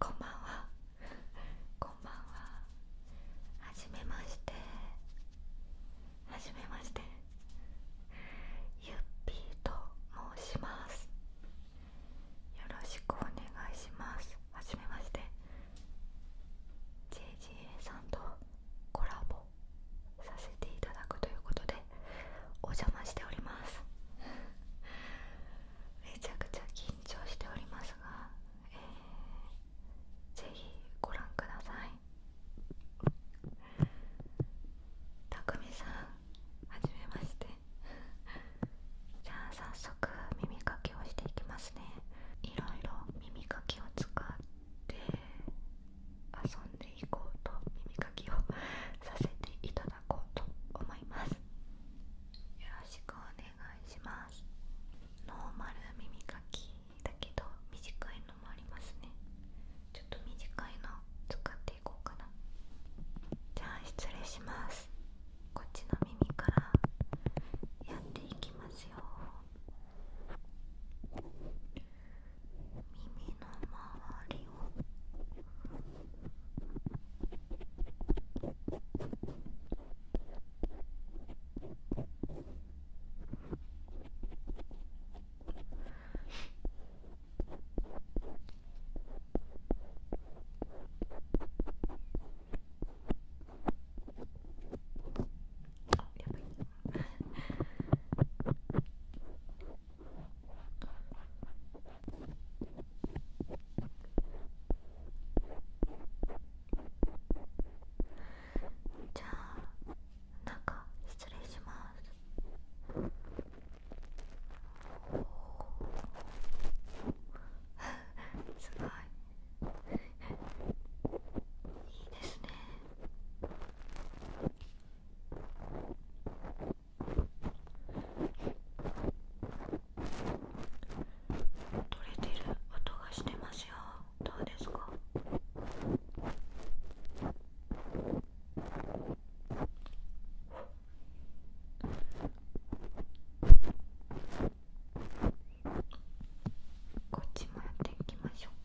こんばんはこんばんははじめましてはじめましてゆっぴーと申しますよろしくお願いしますはじめまして JGA さんとコラボさせていただくということでお邪魔しております めちゃくちゃ緊張しておりますが、えー、ぜひご覧くださいたくみさんはじめましてじゃあ早速耳かきをしていきますねいろいろ耳かきを使って遊んでいこうと耳かきをさせていただこうと思いますよろしくお願いしますノーマル耳かきだけど短いのもありますねちょっと短いの使っていこうかなじゃあ失礼しますこっちの耳からやっていきますよ耳の周りをじゃあなんか失礼します すごいいいですね取れてる音がしてますよどうですかこっちもやっていきましょう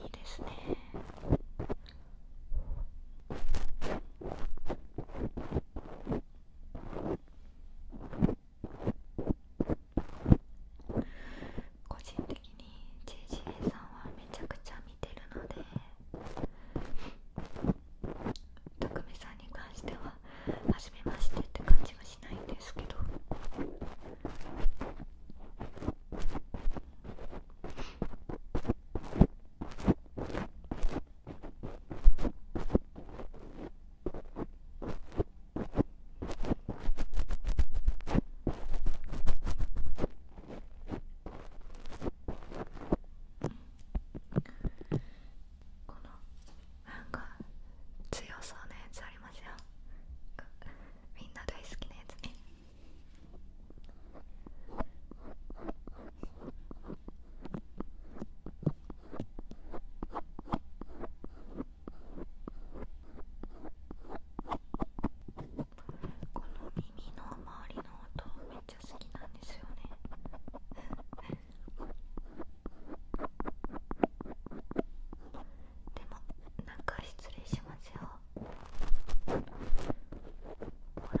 いいですね。個人的に JGA さんはめちゃくちゃ見てるので匠さんに関しては初めましてって感じはしないんですけど。このなんか強そうなやつありますよみんな大好きなやつね。この耳の周りの音めっちゃ好きなんですよねでもなんか失礼しますよほら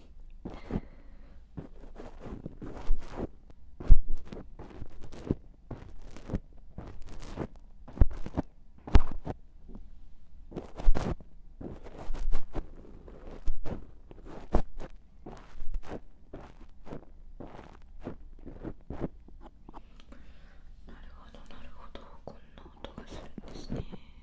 なるほどなるほどこんな音がするんですね。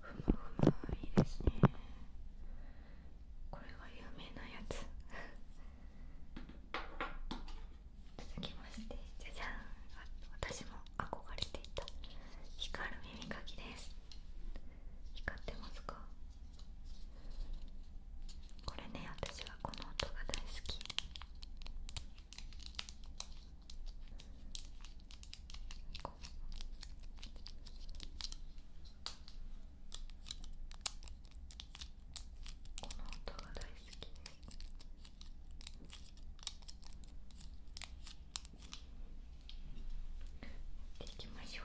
ふむふむいいですねこれが有名なやつ続きましてじゃじゃん私も憧れていた光る耳かきです光ってますかこれね私はこの音が大好きこの音が大好きですきましょう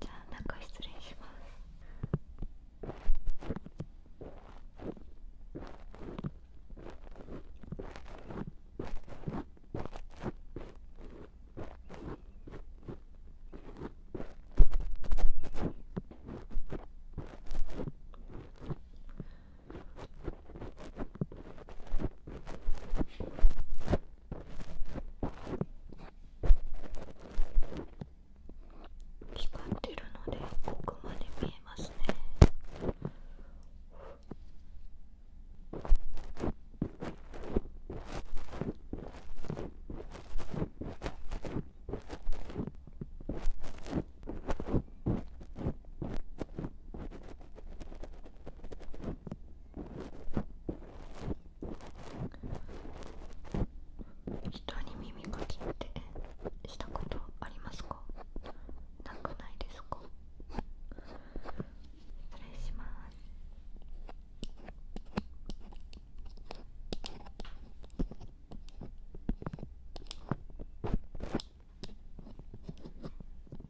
じゃあ中失礼します光ってるので奥まで見えますねこ人に耳かきってしたことありますかなくないですか失礼します実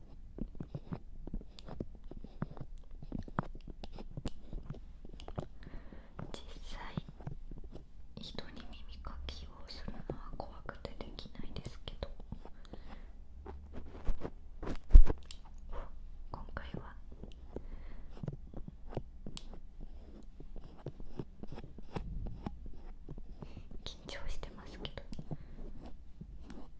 際人に耳かきをするのは怖くてできないですけど今回は緊張してますけど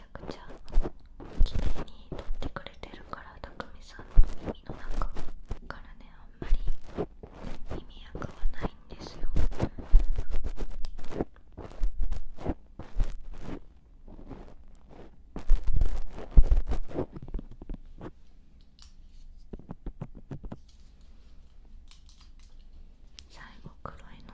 ちゃくちゃ綺麗に撮ってくれてるから匠さんの耳の中からねあんまり耳垢はないんですよ。最後黒いの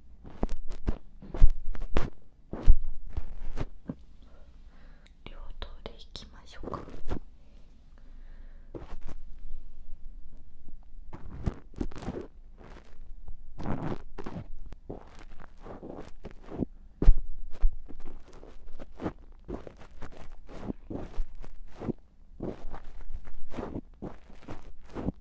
両頭でいきましょうか。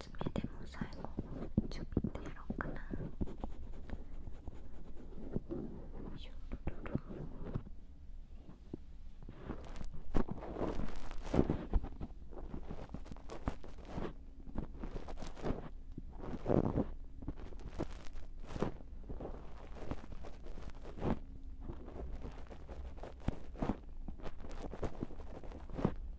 つ目でも最後ちょびっとやろうかなシュルルルこ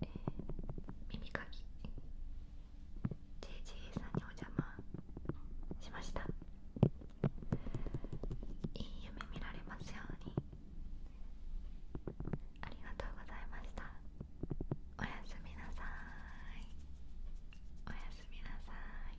え耳かき JGA さんにお邪魔しましたいい夢見られますようにありがとうございましたおやすみなさいおやすみなさい